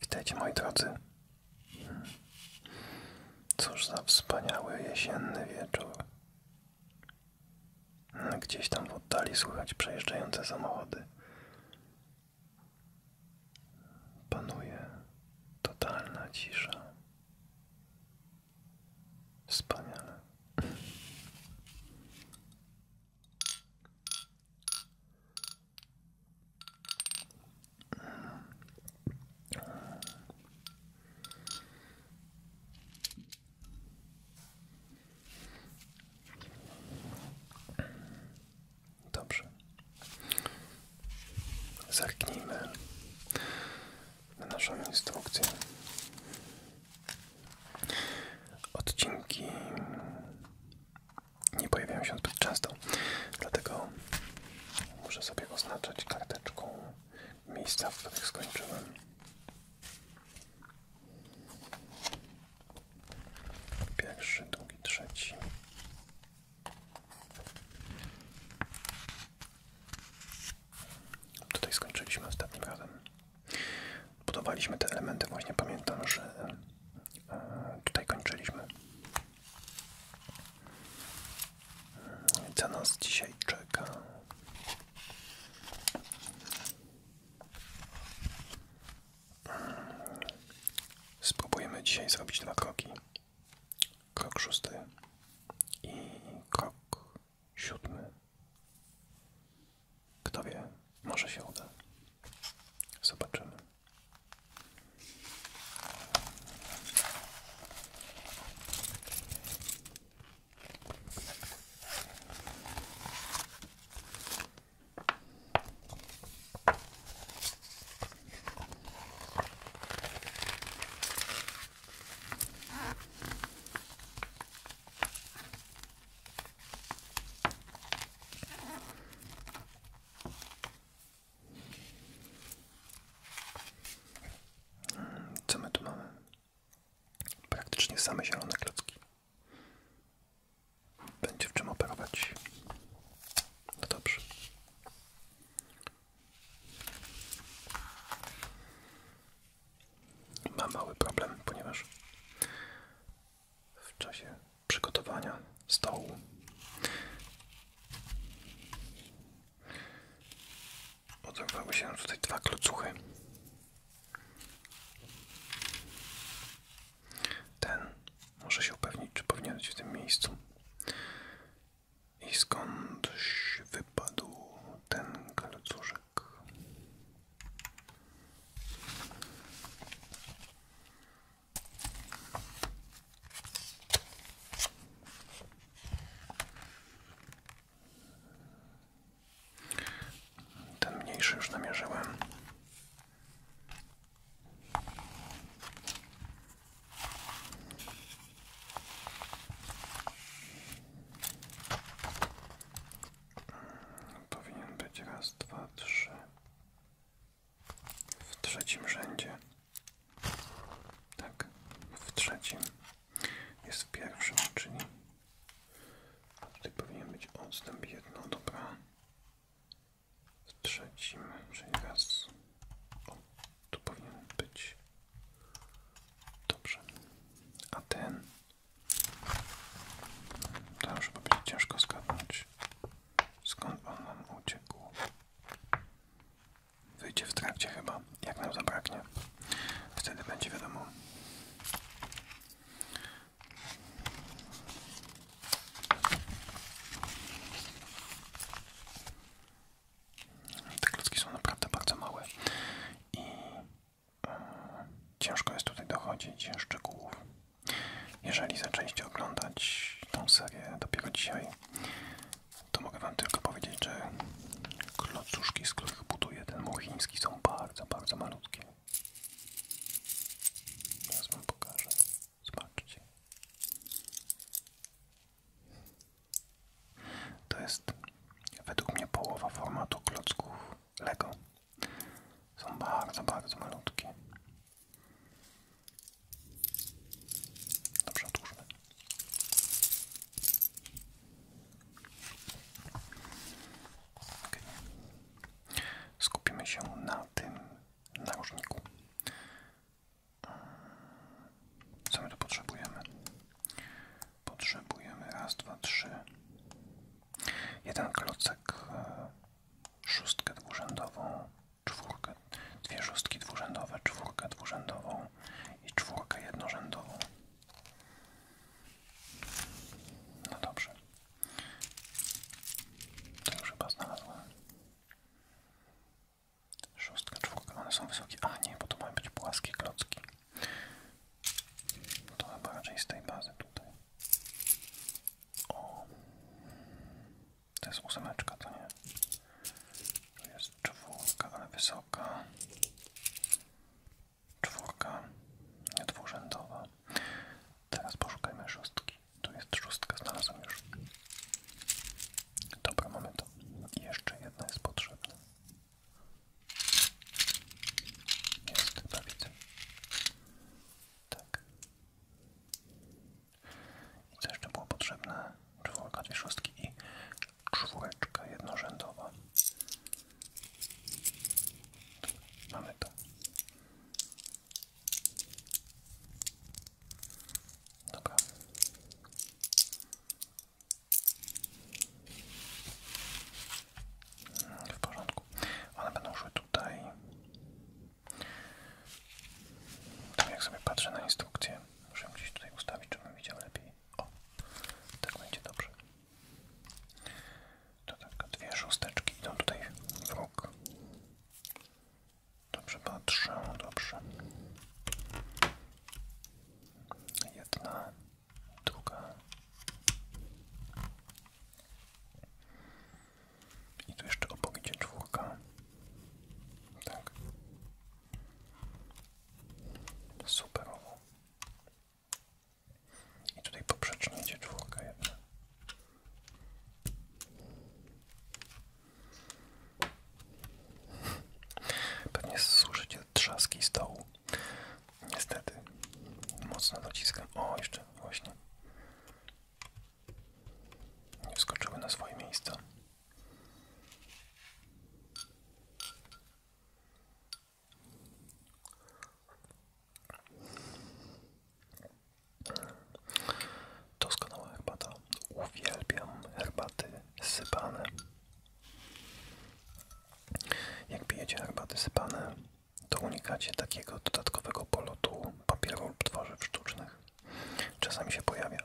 Witajcie moi drodzy. Cóż za wspaniały jesienny wieczór. Gdzieś tam w oddali słychać przejeżdżające samochody. Panuje totalna cisza. Wspaniale. Dobrze. Zerknijmy na naszą instrukcję. Odcinki nie pojawiają się zbyt często, dlatego muszę sobie oznaczać karteczką miejsca, w których skończyłem. Pierwszy, drugi, trzeci. Tutaj skończyliśmy ostatnim razem. Budowaliśmy te elementy, właśnie pamiętam, że e, tutaj kończyliśmy. No co nas dzisiaj czeka? Spróbujemy dzisiaj zrobić dwa kroki. Krok szósty i krok siódmy. Kto wie, może się uda. Zobaczymy. Co my tu mamy? Praktycznie same zielone klocki. Będzie w czym operować. No dobrze. Ma mały problem, ponieważ w czasie przygotowania stołu oderwały się tutaj dwa klocuchy. Ten może się upewnić, czy powinien być w tym miejscu. I skądś wypadł ten klocuszek. Tak. Ten mniejszy już namierzyłem. Powinien być raz, dwa, trzy. W trzecim rzędzie. Tak, w trzecim. Jest w pierwszym, czyli tutaj powinien być odstęp jedno, dobra. W trzecim, czyli raz. O, tu powinien być. Dobrze. A ten to już będzie ciężko zgadnąć, skąd on nam uciekł. Wyjdzie w trakcie chyba, jak nam zabraknie. Wtedy będzie wiadomo. Te klocki są naprawdę bardzo małe ciężko jest tutaj dochodzić szczegółów. Jeżeli zaczęliście oglądać tą serię dopiero dzisiaj, to mogę wam tylko powiedzieć, że klocuszki, z których buduje ten muł chiński są bardzo, bardzo malutkie. Teraz wam pokażę. Zobaczcie. To jest według mnie połowa formatu klocków Lego. Są bardzo, bardzo malutkie. Dobrze, otwórzmy. Skupimy się na tym narożniku. Co my tu potrzebujemy? potrzebujemy raz, dwa, trzy, jeden klocek, e, szóstkę dwurzędową, czwórkę, dwie szóstki dwurzędowe, czwórkę dwurzędową i czwórkę jednorzędową. No dobrze, to już chyba znalazłem. Szóstka, czwórka, one są wysokie. A nie, bo to mają być płaskie klocki. To chyba raczej z tej bazy tutaj. O, to jest ósemeczka, to nie. To jest czwórka, ale wysoka. Czwórka, nie dwurzędowa. Teraz poszukajmy szóstki. Tu jest szóstka, znalazłem już. Dobra, mamy to. jeszcze jedna jest potrzebna. Jest chyba widzę. Tak. I co jeszcze było potrzebne? Czwórka, dwie szóstki i czwóreczka jednorzędowa. Mamy to. Dobra. W porządku. One będą szły tutaj. Tam jak sobie patrzę na instrukcję, muszę gdzieś tutaj ustawić, żebym widział lepiej. O, tak będzie dobrze. To tak, dwie szósteczki idą tutaj w róg. Dobrze patrzę, dobrze. Jedna, druga. I tu jeszcze obok idzie czwórka. Tak. Superowo. I tutaj poprzecznie idzie czwórka Pewnie słyszycie trzaski stołu. Niestety, mocno dociskam. O, jeszcze właśnie. Nie wskoczyły na swoje miejsca. Doskonała herbata. Uwielbiam herbaty sypane. Jak pijecie herbaty sypane, to unikacie takiego dodatkowego polotu papieru lub tworzyw sztucznych. Czasami się pojawia.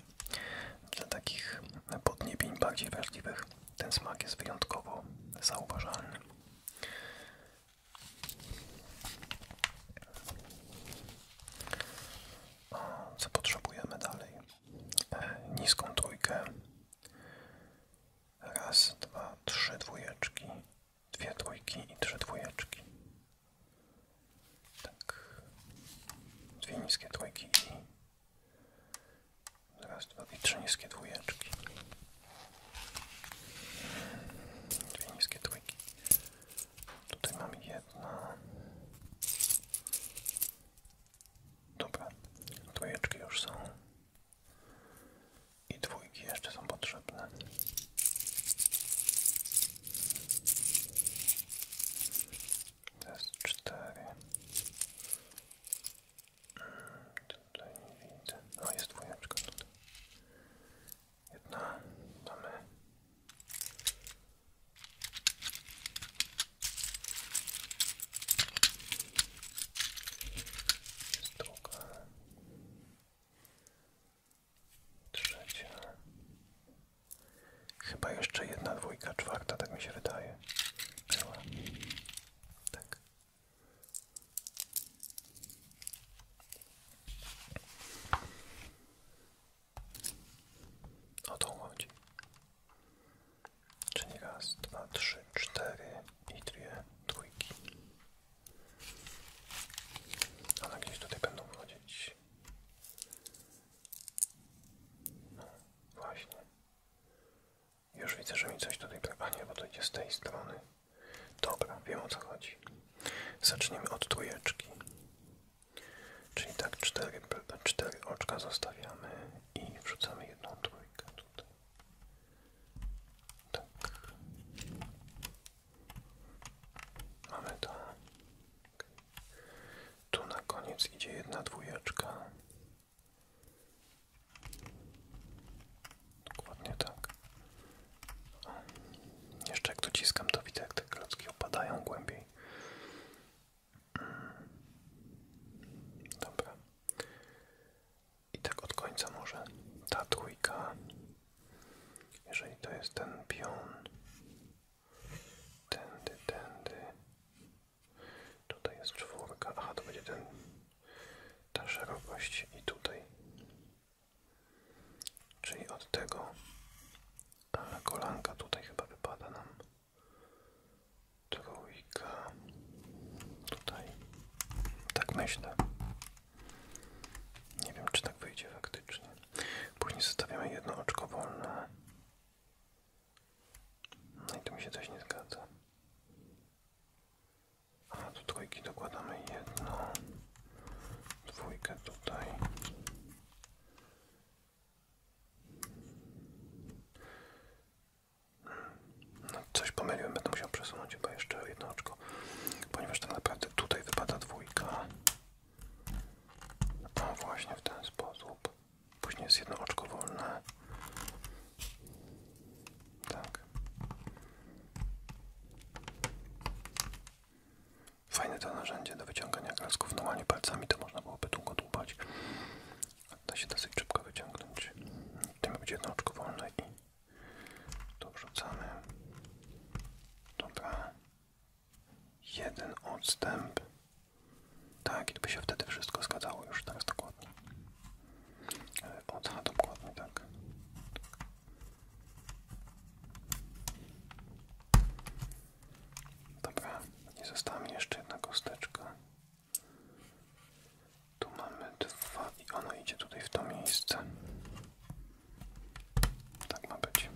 Dla takich podniebień bardziej wrażliwych ten smak jest wyjątkowo zauważalny. Co potrzebujemy dalej? E, niską trójkę Raz, dwa, trzy dwójeczki, dwie trójki i trzy dwójeczki. Tak. Dwie niskie trójki i raz, dwa i trzy niskie dwójeczki. Dwie niskie trójki. Tutaj mam jedno, Dobra, trójeczki już są i dwójki jeszcze są potrzebne. To jest cztery. Mm, tutaj nie widzę. No jest dwójeczka tutaj. Jedna mamy. Jest tu trzecia, chyba jeszcze jedna dwójka, czwarta, tak mi się wydaje, była, tak. O tą chodzi. Czyli raz, dwa, trzy, cztery, i dwie dwójki. One gdzieś tutaj będą chodzić. No, właśnie. Już widzę, że mi coś tutaj... A bo to idzie z tej strony. Dobra, wiem o co chodzi. Zacznijmy od trójeczki. Czyli tak, cztery, cztery oczka zostawiamy i wrzucamy jedną trójkę tutaj. Tak. Mamy Tu na koniec idzie jedna dwójeczka. Dokładnie tak. Jeszcze jak dociskam, to widzę, jak te klocki opadają głębiej. Mm. Dobra. I tak od końca może ta dwójka, jeżeli to jest ten pion, tędy, tędy, tutaj jest czwórka, aha to będzie ten, ta szerokość i tutaj, czyli od tego, ale kolanka tutaj chyba wypada nam, trój, dwójka. Tutaj. Tak myślę. Nie wiem, czy tak wyjdzie faktycznie. Później zostawiamy jedno oczko wolne. No i tu mi się coś nie zgadza. A do trójki dokładamy jedno. Dwójkę tutaj. No, coś pomyliłem, będę musiał przesunąć chyba jeszcze jedno oczko, ponieważ tak naprawdę tutaj wypada dwójka. No właśnie w ten sposób. Później jest jedno oczko wolne. Tak. Fajne to narzędzie do wyciągania klasków. Normalnie palcami to można byłoby długo dłubać. Da się dosyć szybko wyciągnąć. Tutaj ma być jedno oczko wolne i to wrzucamy. Dobra. Jeden odstęp. Tak, i by się wtedy wszystko zgadzało już teraz dokładnie. E, od H dokładnie, tak. Dobra, nie została jeszcze jedna kosteczka. Tu mamy dwa i ono idzie tutaj w to miejsce. Tak ma być.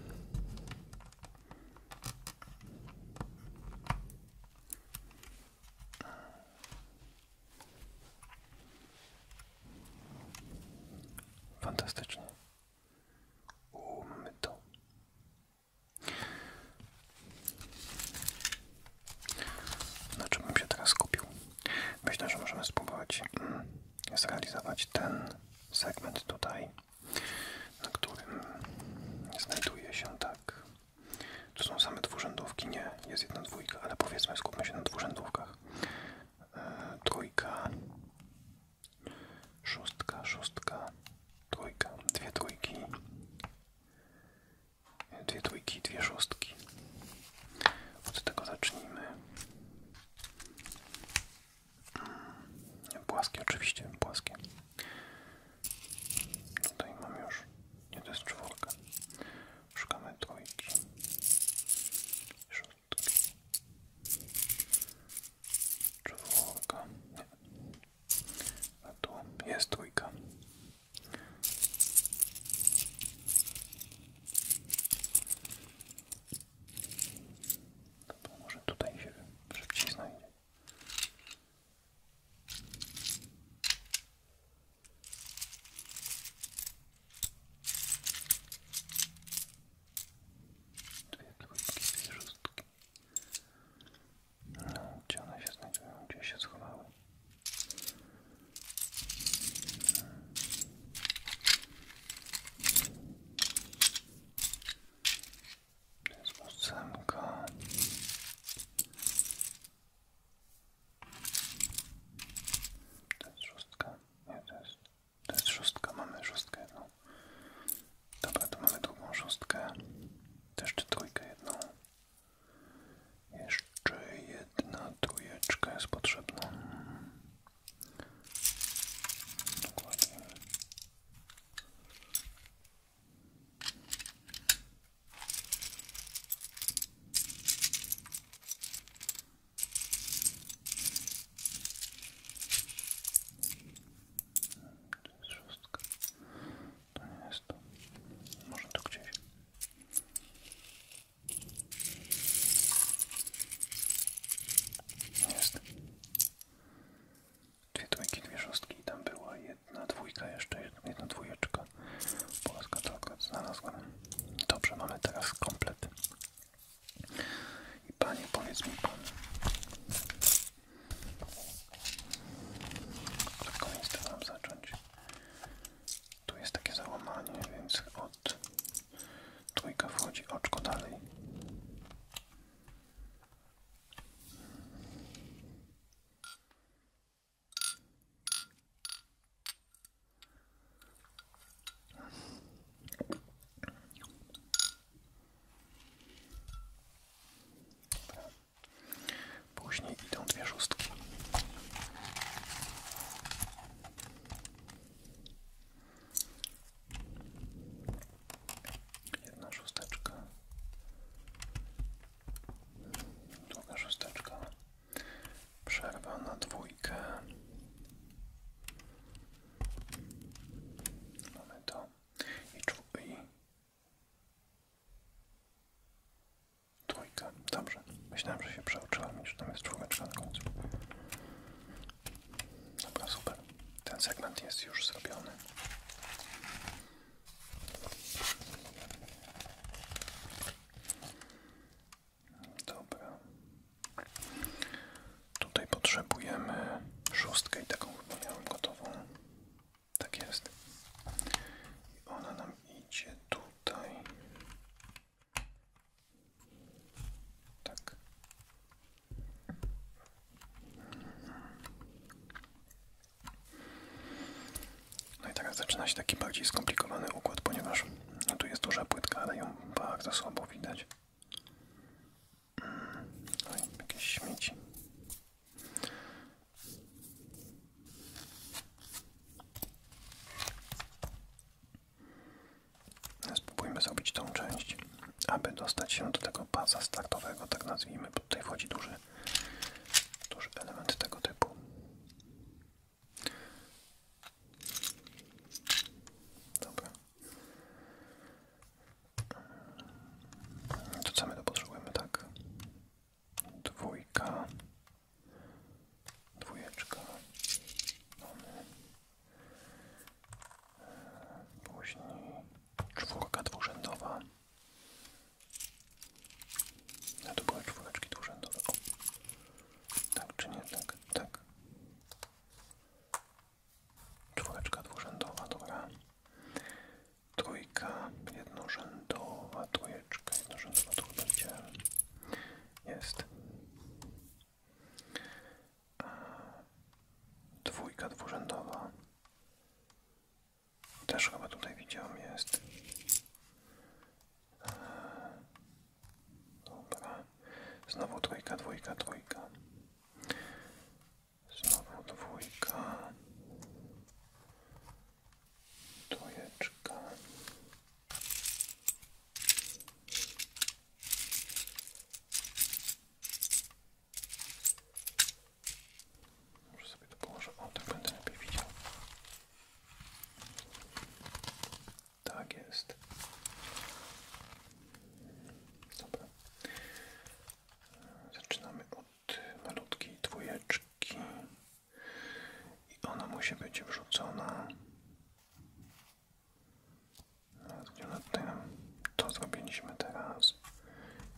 Fantastycznie. mamy to na czym bym się teraz skupił. Myślę, że możemy spróbować mm, zrealizować ten segment tutaj, na którym znajduje się tak. Tu są same dwurzędówki, nie, jest jedna dwójka, ale powiedzmy skupmy się na dwurzędówkach. Yy, trójka, szóstka, szóstka, trójka, dwie trójki, dwie dwójki, dwie szóstki. Od tego zacznijmy. Hmm, płaskie oczywiście, płaskie. No Tutaj mam już, nie to jest czwórka. Szukamy trójki. Szóstki. Czwórka. Nie. A tu jest trójka. To może tutaj się szybciej znajdzie. Dwie dwójki, dwie szóstki. No, gdzie one się znajdują? Gdzie się schowały? Jest ósemka. To jest szóstka. Nie, jest, to jest szóstka. Mamy szóstkę jedną. Dobra, to mamy drugą szóstkę. Też czy trójkę jedną. Jeszcze jedna tujeczka jest potrzebna. Dokładnie. To jest To nie jest to. Jest. Dwie trójki, dwie szóstki. Tam była jedna dwójka jeszcze, jedna dwójeczka. Polska to akurat znalazłem. Dobrze, mamy teraz komplet. I panie, powiedz mi pan, od końca mam zacząć. Tu jest takie załamanie, więc od trójka wchodzi oczko dalej. Później idą dwie szóstki. Jedna szósteczka. Druga szósteczka. Przerwa na dwójkę. Mamy to. I, i Trójka, dobrze. Myślałem, że się przeoczyłem, już tam jest czwóreczka na końcu. Dobra, super. Ten segment jest już zrobiony. Dobra. Tutaj potrzebujemy szóstkę i taką chyba miałem gotową. Tak jest. I ona nam idzie tutaj tutaj. Tak. No i teraz zaczyna się taki bardziej skomplikowany układ, ponieważ no tu jest duża płytka, ale ją bardzo słabo widać. Mm, Oj, no jakieś śmieci. Spróbujmy zrobić tą część, aby dostać się do tego pasa startowego, tak nazwijmy, tutaj wchodzi duży, duży element tego typu. Dobra. To co my to potrzebujemy, tak? dwójka, dwójeczka, mamy, później czwórka dwurzędowa, no to były czwóreczki dwurzędowe, tak czy nie, tak, tak, czwóreczka dwurzędowa, dobra, trójka jednorzędowa, trójeczka, Czekaj, Jest. E, dwójka dwurzędowa. Też chyba tutaj widziałem, jest. E, dobra. Znowu trójka, dwójka, trójka. Znowu dwójka. Trójeczka. Może sobie to położę, o tak będę lepiej widział. Tak jest. Dobra. Zaczynamy od malutkiej dwójeczki i ona musi być wrzucona. No, tutaj nam to zrobiliśmy teraz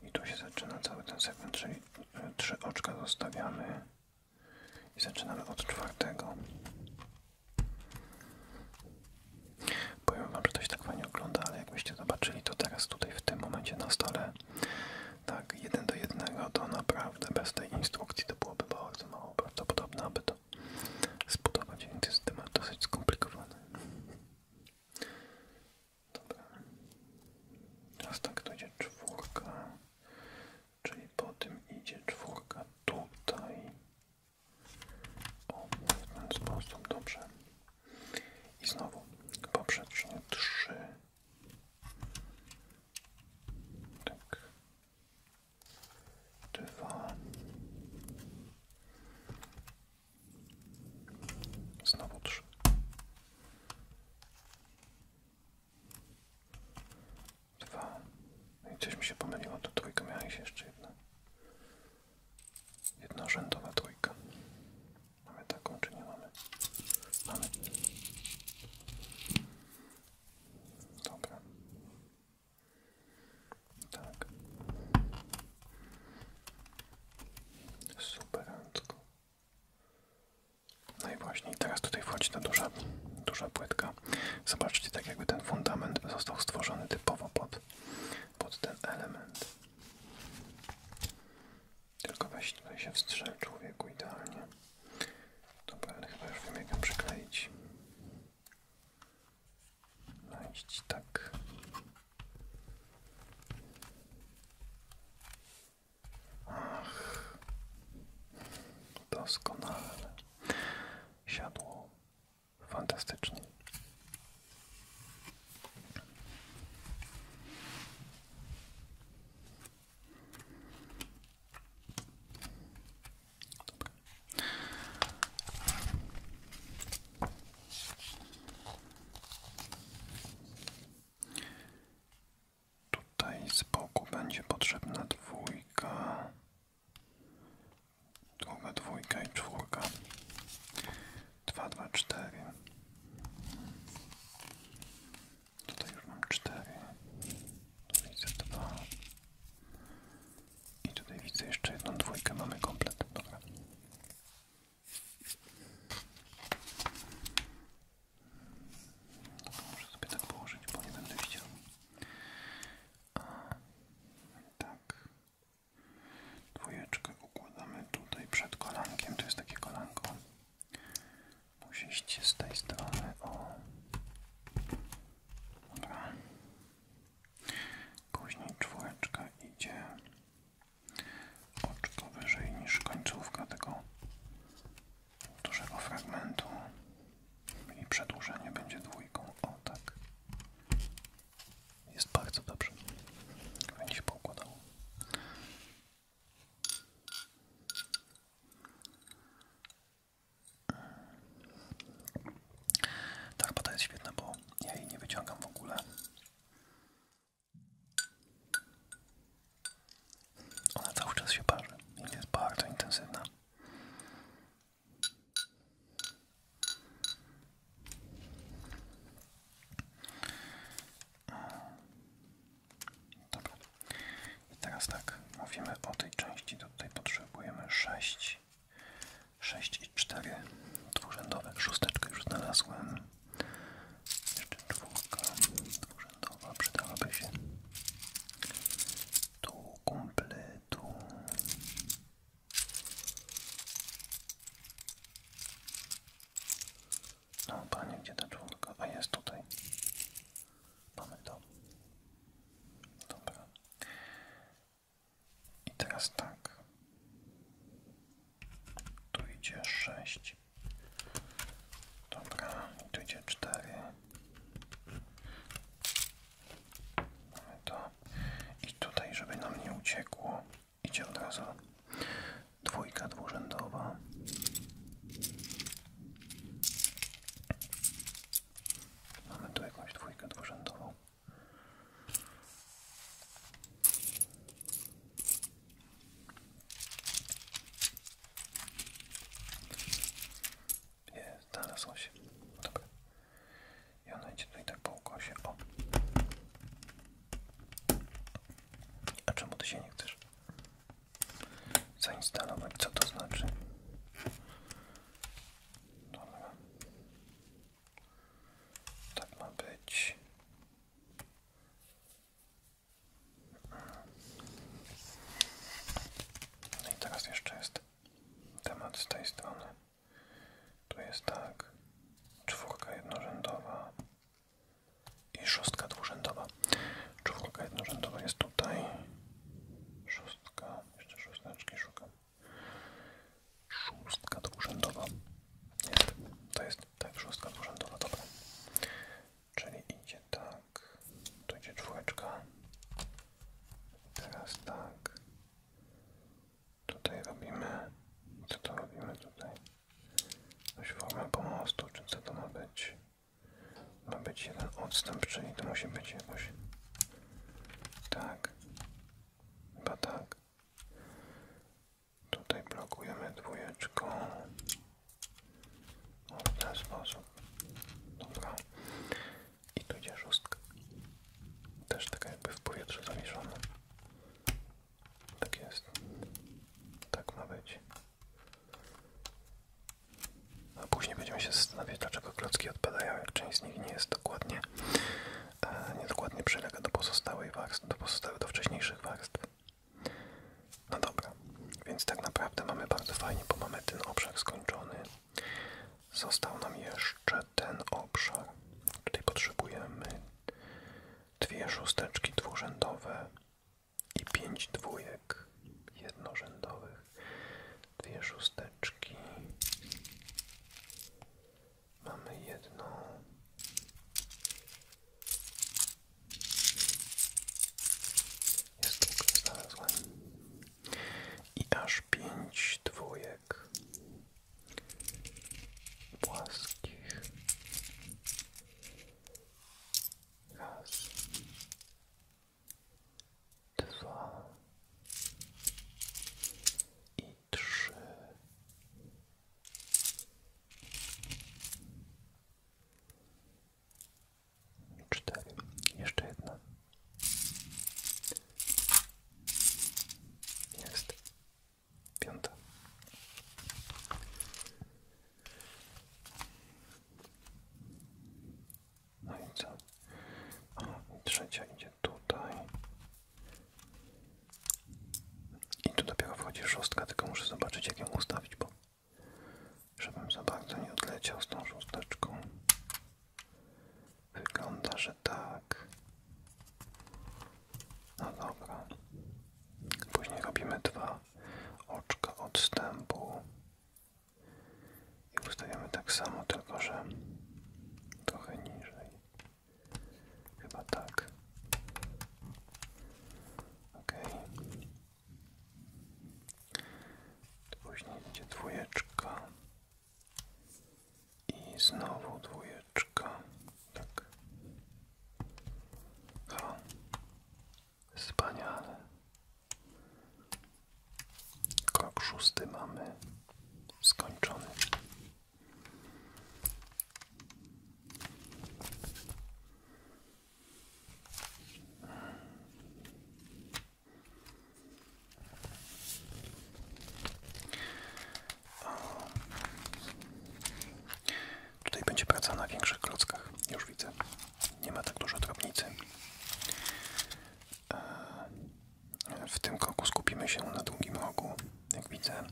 i tu się zaczyna cały ten segment, czyli e, trzy oczka zostawiamy i zaczynamy od czwartego. Powiem wam, że to się tak fajnie ogląda, ale jakbyście zobaczyli to teraz tutaj w tym momencie na stole tak, jeden do jednego, to naprawdę bez tej instrukcji to byłoby bardzo mało prawdopodobne, aby to zbudować, więc jest temat dosyć skomplikowany. Dobra. Teraz tak, to idzie czwórka, czyli po tym idzie czwórka tutaj. O, w ten sposób, dobrze. I znowu poprzecznie 3. Tak, dwa. Znowu trzy. Dwa. No i coś mi się pomyliło, to trójka miała iść jeszcze jedna. Jednorzędowa trójka. Mamy taką czy nie mamy? Mamy. Dobra. Tak. Superantko. No i właśnie teraz tutaj wchodzi ta duża, duża płytka. Zobaczcie, tak jakby ten fundament został stworzony typowo pod, pod ten element. Tylko weź tutaj się wstrzel człowieku idealnie. To ale chyba już wiem jak ją przykleić. Najść no tak. Ach, doskonale. Siadło fantastycznie. Dobra. Tutaj z boku będzie potrzebna dwójka, druga dwójka i czwórka. Dwa, dwa, cztery. Tutaj już mam cztery. Tu widzę dwa. I tutaj widzę jeszcze jedną dwójkę. Mamy komplet. Dobra. Dobra, muszę sobie tak położyć, bo nie będę widział. A, tak. Dwójeczkę układamy tutaj przed kolankiem. To jest takie kolanko. Musieliście z tej strony, o. Dobra. Później czwóreczka idzie oczko wyżej niż końcówka tego dużego fragmentu i przedłużenie będzie dwójką, o tak. Jest bardzo dobrze. Będzie się poukładało. Ta herbata jest świetna, bo ja jej nie wyciągam w ogóle. Ona cały czas się parzy i jest bardzo intensywna. Dobra. I teraz tak, mówimy o tej części, tutaj potrzebujemy 6, 6 i 4 dwurzędowe. Szósteczkę już znalazłem. Jeszcze czwórka dwurzędowa przydałaby się. Tu kompletu. No panie, gdzie ta czwórka? A jest tutaj. Mamy Dobra. I teraz tak. Tu idzie 6. Dobra, tu idzie cztery, to. I tutaj, żeby nam nie uciekło, idzie od razu dwójka dwurzędowa. Mamy tu jakąś dwójkę dwurzędową. Jest, znalazło się. Dobra. I ona idzie tutaj tak po ukosie. O. A czemu ty się nie chcesz? zainstalować. Co to znaczy? Dobra. Tak ma być. No i teraz jeszcze jest temat z tej strony. Tu jest tak, czwórka jednorzędowa i szóstka dwurzędowa. Czwórka jednorzędowa jest tutaj, szóstka, jeszcze szósteczki szukam. Szóstka dwurzędowa. Jest, to jest tak, szóstka dwurzędowa, dobra. Czyli idzie tak, tu idzie czwóreczka. Teraz tak. Tutaj robimy. Co to robimy tutaj? Coś formę pomostu, czy co to ma być? Ma być jeden odstęp, czyli to musi być jakoś tak, chyba tak. Tutaj blokujemy dwójeczką. O, w ten sposób. Dobra. I tu idzie szóstka. Też taka jakby w powietrzu zawieszona. Tak jest. Tak ma być. A później będziemy się zastanawiać, dlaczego klocki odpadają, jak część z nich nie jest dokładnie, e, dokładnie przylega do pozostałej warstw, do pozostałych, wcześniejszych warstw. No dobra, więc tak naprawdę mamy bardzo fajnie, bo mamy ten obszar skończony. Został nam jeszcze ten obszar. Tutaj potrzebujemy dwie szósteczki dwurzędowe i pięć dwójek jednorzędowych, dwie szósteczki. Mamy jedną. Jest znalazłem. I aż pięć dwójek płaskich. Raz, dwa i trzy. Cztery. Jeszcze jedna. Jest. Piąta. No i co? trzecia idzie tutaj. I tu dopiero wchodzi szóstka, tylko muszę zobaczyć jak ją ustawić, bo żebym za bardzo nie odleciał z tą szósteczką. Wygląda, że tak. No dobra. Później robimy dwa oczka odstępu i ustawiamy tak samo, tylko że trochę niżej. Chyba tak. Ok. Później idzie dwójeczka i znowu dwójeczka. Tak. Ha. Wspaniale. Krok szósty mamy skończony. O. Tutaj będzie praca na większych klockach, już widzę nie ma tak dużo drobnicy. E, w tym kroku skupimy się na długim rogu, jak widzę, e,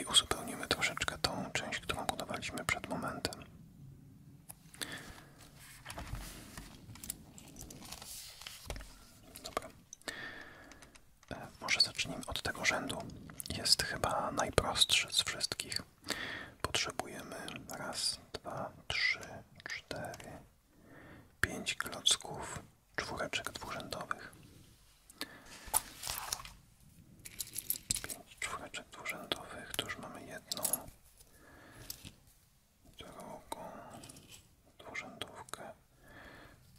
i uzupełnimy troszeczkę tą część, którą budowaliśmy przed momentem. Dobra. E, może zacznijmy od tego rzędu. Jest chyba najprostszy z wszystkich. Potrzebujemy raz, dwa, trzy, cztery, pięć klocków czwóreczek dwurzędowych. Pięć czwóreczek dwurzędowych, tu już mamy jedną, drugą dwurzędówkę,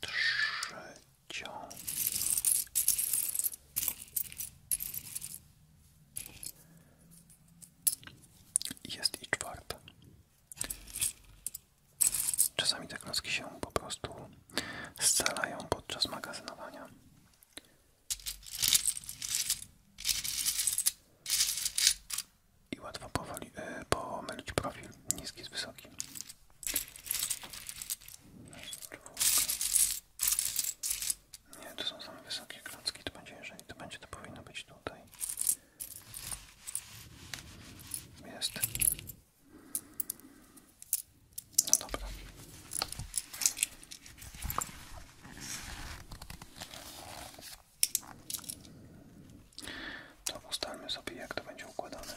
trzecią. Jest i czwarta. Czasami te klocki się po prostu scalają podczas magazynowania. I łatwo powoli, yy, pomylić profil niski z wysokim. Raz, nie, to są same wysokie klocki. To będzie, jeżeli to będzie, to powinno być tutaj. Jest. No dobra. To ustalmy sobie, jak to będzie układane.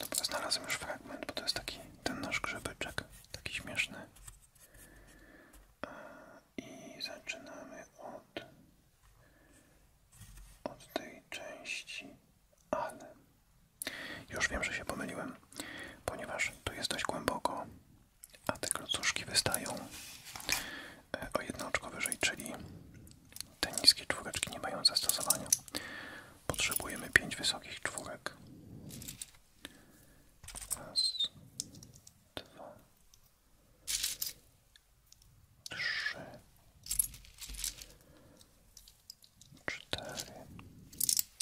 Dobra, znalazłem już fragment, bo to jest taki ten nasz grzybeczek, taki śmieszny. I zaczynamy od, od tej części, ale już wiem, że się pomyliłem, ponieważ tu jest dość głęboko, a te klocuszki wystają e, o jedno oczko wyżej, czyli te niskie czwóreczki nie mają zastosowania. Potrzebujemy pięć wysokich czwórek jeden, dwa, trzy, cztery.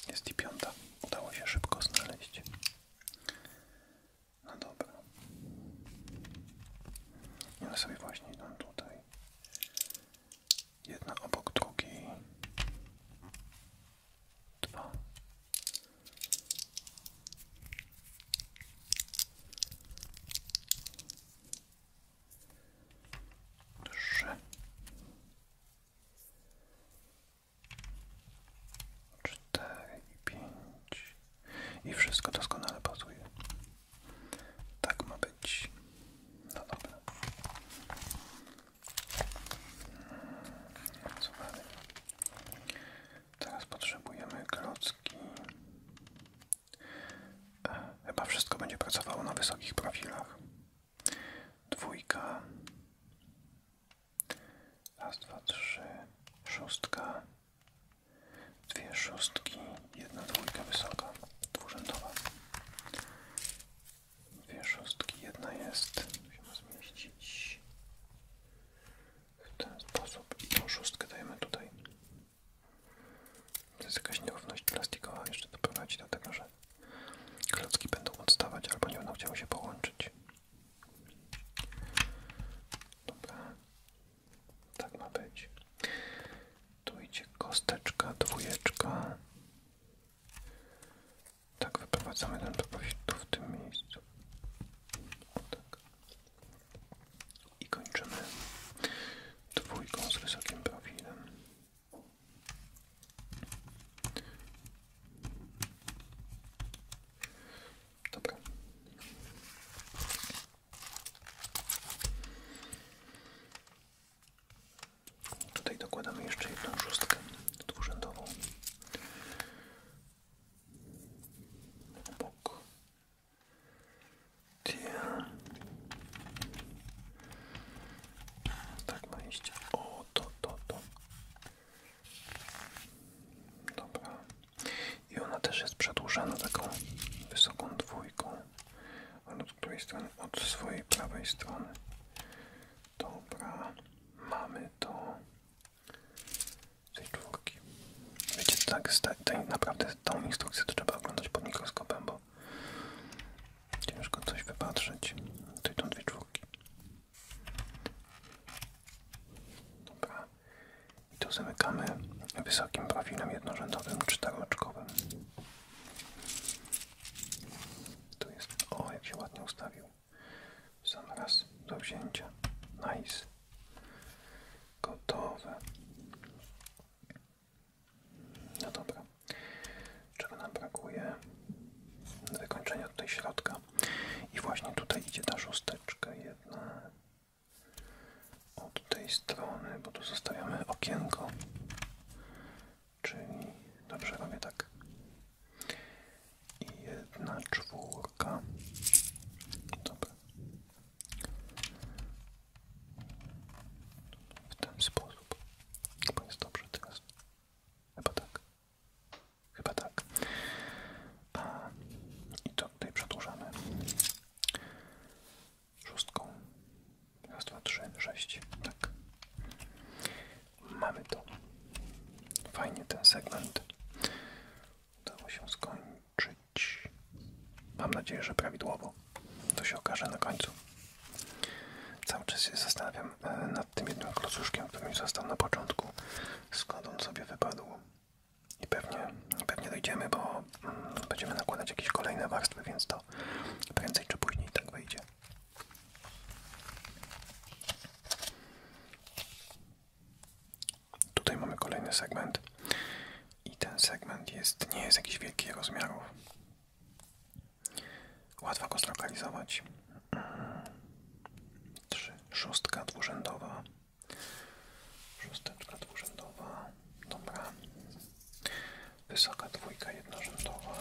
Jest i piąta. Udało się szybko znaleźć. No dobra. Ja sobie właśnie idę tutaj. Jedna obok drugiej dwa, trzy, cztery i pięć i wszystko doskonale pasuje. Tak ma być. No dobra. Teraz potrzebujemy klocki. E, chyba wszystko będzie pracowało na wysokich profilach. Dwójka. Raz, dwa, trzy. Szóstka. Dwie szóstki. Jedna dwójka wysoka. Dwurzędowa. Dwie szóstki, jedna jest. Musimy zmieścić w ten sposób. I tą szóstkę dajemy tutaj. To jest jakaś nierówność plastikowa, jeszcze doprowadzi do tego, że klocki będą odstawać albo nie będą chciały się połączyć. Dobra, tak ma być. Tu idzie kosteczka, dwójeczka, tak, wyprowadzamy ten propozyt tu w tym miejscu. Tak. I kończymy dwójką z wysokim profilem. Dobra. Tutaj dokładamy jeszcze jedną szóstkę dwurzędową bok Tia. tak ma iść o to, to, to dobra i ona też jest przedłużona taką wysoką dwójką ale od której strony? od swojej prawej strony dobra mamy to tej czwórki. Wiecie, tak, tak naprawdę tą instrukcję to trzeba oglądać pod mikroskopem, bo ciężko coś wypatrzeć. Tutaj są dwie czwórki. Dobra. I to zamykamy wysokim profilem jednorzędowym, czteroczkowym. Tu jest... O, jak się ładnie ustawił sam raz do wzięcia. Nice. Gotowe. No dobra. Czego nam brakuje? Wykończenia tutaj środka. I właśnie tutaj idzie ta szósteczka jedna od tej strony, bo tu zostawiamy okienko. Czyli dobrze robię tak i jedna czwórka. Dobra. W ten sposób. Chyba jest dobrze teraz. Chyba tak. Chyba tak. A, I to tutaj przedłużamy. Szóstką. Raz, dwa, trzy, Tak mamy to. Fajnie ten segment udało się skończyć. Mam nadzieję, że prawidłowo. To się okaże na końcu. Cały czas się zastanawiam e, nad tym jednym klocuszkiem, który mi został na początku, skąd on sobie wypadł. I pewnie, pewnie dojdziemy, bo mm, będziemy nakładać jakieś kolejne warstwy, więc to prędzej czy później tak wyjdzie. Tutaj mamy kolejny segment i ten segment jest, nie jest jakiś wielkich rozmiarów. Łatwo go zlokalizować. 3, szóstka dwurzędowa. Szósteczka dwurzędowa. Dobra. Wysoka dwójka jednorzędowa.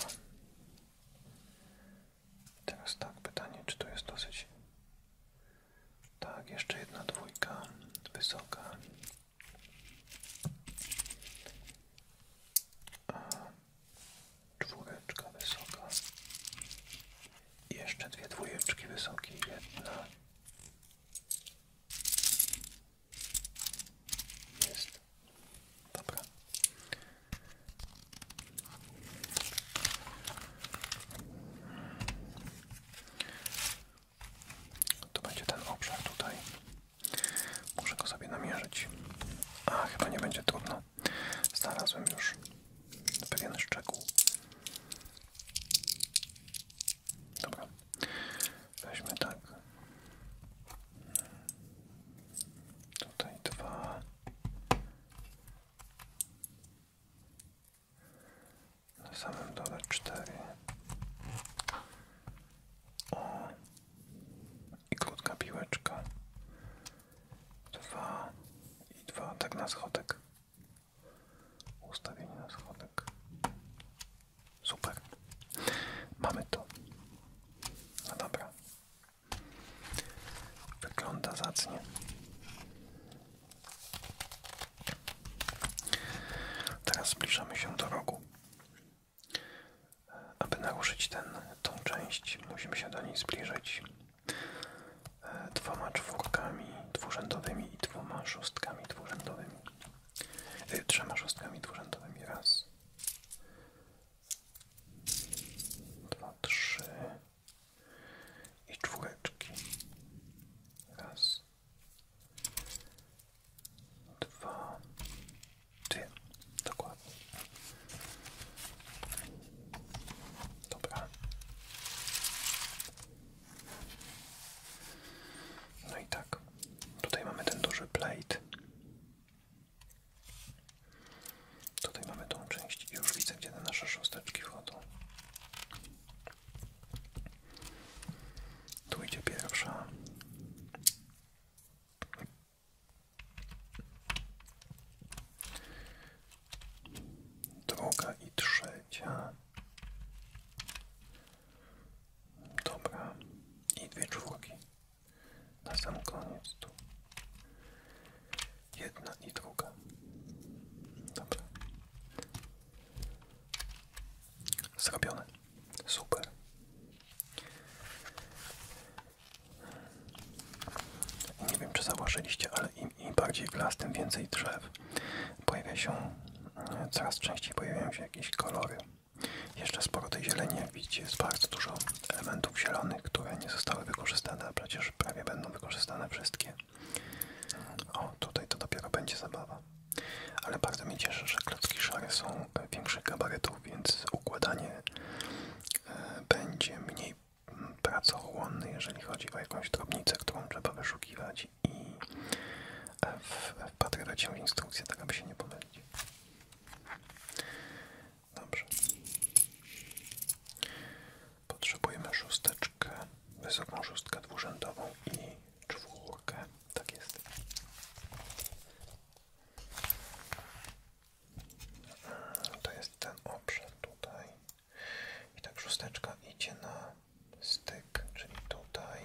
Teraz tak, pytanie, czy to jest dosyć... Tak, jeszcze jedna dwójka, wysoka. A czwóreczka wysoka. Jeszcze dwie dwójeczki wysokie, jedna. Jest. Dobra. To będzie ten obszar tutaj. Muszę go sobie namierzyć. A, chyba nie będzie trudno. Znalazłem już pewien szczegół. Dobra. Weźmy tak. Tutaj dwa na samym dole cztery o i krótka piłeczka dwa i dwa tak na schodek ustawienie na schodek super mamy to no dobra Wygląda zacnie. Teraz zbliżamy się do rogu. Aby naruszyć ten, tą część, musimy się do niej zbliżyć e, dwoma czwórkami dwurzędowymi i dwoma szóstkami dwurzędowymi. E, trzema szóstkami dwurzędowymi. Raz, dwa, trzy, i czwóreczki. Raz, dwa, trzy. Dokładnie. Dobra. No i tak. Tutaj mamy ten duży plate. Tutaj mamy tą część i już widzę, gdzie te nasze szósteczki wchodzą. Tu idzie pierwsza. Druga i trzecia. Dobra. I dwie czwórki. Na sam koniec tu. Jedna i druga. Dobra. Zrobione. Super. Nie wiem, czy zauważyliście, ale im, bardziej w tym więcej drzew. Pojawia się, e, coraz częściej pojawiają się jakieś kolory. Jeszcze sporo tej zieleni, widzicie, jest bardzo dużo elementów zielonych, które nie zostały wykorzystane, a przecież prawie będą wykorzystane wszystkie. O, tutaj to dopiero będzie zabawa. Ale bardzo mnie cieszy, że klocki szare są e, większych gabarytów, więc układanie e, będzie mniej mm, pracochłonny, jeżeli chodzi o jakąś drobnicę, którą trzeba wyszukiwać i wpatrywać e, się w instrukcję, tak aby się nie pomylić. Dobrze. Potrzebujemy szósteczkę, wysoką szóstkę dwurzędową i czwórkę. Tak jest. To jest ten obszar tutaj. I tak szósteczka idzie na styk, czyli tutaj.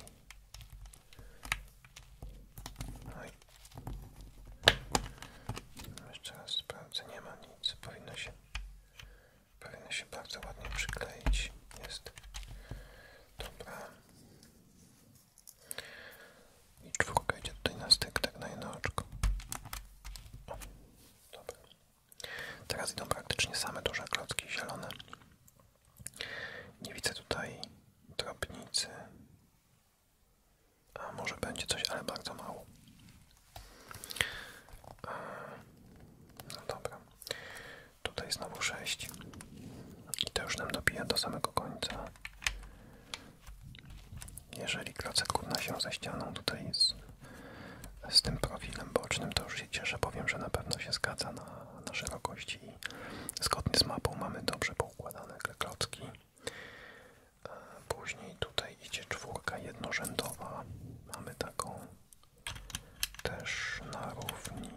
No i no, jeszcze raz sprawdzę, nie ma powinno się, powinno się bardzo ładnie przykleić. Jest dobra. I czwórka idzie tutaj na styk, tak na jedno oczko. O, dobra. Teraz idą praktycznie same duże klocki zielone. Nie widzę tutaj drobnicy a może będzie coś, ale bardzo mało. E, no dobra. Tutaj znowu 6. I to już nam dobija do samego końca. Jeżeli klocek równa się ze ścianą, tutaj z tym profilem bocznym, to już się cieszę, powiem, że na pewno się zgadza na, na szerokości i zgodnie z mapą mamy dobrze poukładane klocki. E, później tutaj idzie czwórka jednorzędowa. Mamy taką też na równi.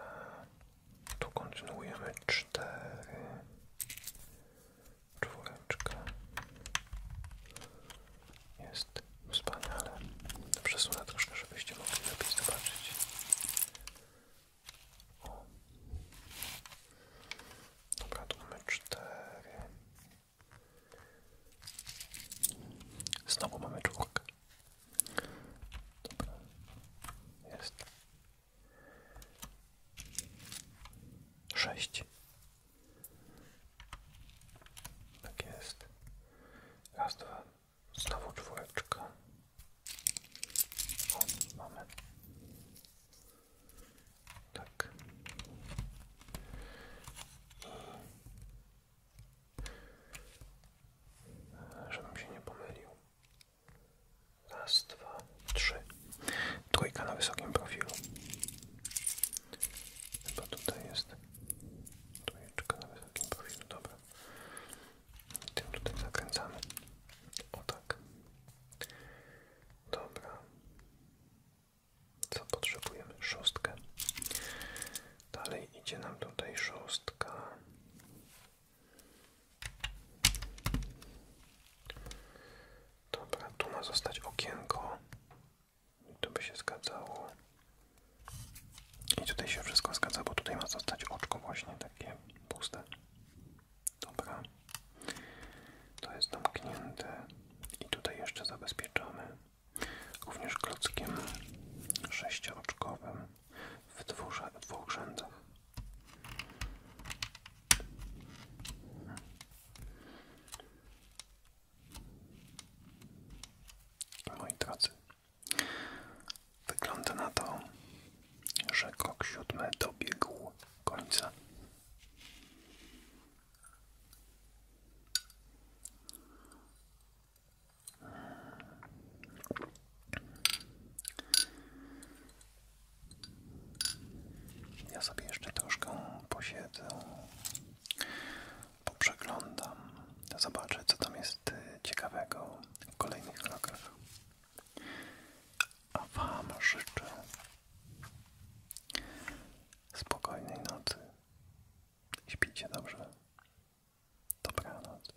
E, tu kontynuujemy cztery. Czwóreczka. Jest wspaniale. Przesunę troszkę, żebyście mogli lepiej zobaczyć. O. Dobra, tu mamy cztery. Znowu jest. Sześć. Tak jest. Raz, dwa, Znowu czwóreczka. O, mamy. Tak. I... E, żebym się nie pomylił. Raz, dwa, trzy. Trójka na wysokim profilu. Chyba tutaj jest trójeczka na wysokim profilu. Dobra. Tym tutaj zakręcamy. O tak. Dobra. Co potrzebujemy? Szóstkę. Dalej idzie nam tutaj szóstka. Dobra, tu ma zostać okienko. To by się zgadzało. I tutaj się wszystko zgadza, bo tutaj ma zostać oczko właśnie takie puste. Dobra. To jest zamknięte i tutaj jeszcze zabezpieczamy również klockiem sześcioczkowym w dwóch, dwóch rzędach. I moi Wygląda na to, że krok siódmy dobiegł końca. Ja sobie jeszcze troszkę posiedzę, poprzeglądam, zobaczę co tam jest y, ciekawego w kolejnych krokach. A Wam życzę spokojnej nocy. Śpijcie dobrze. Dobranoc.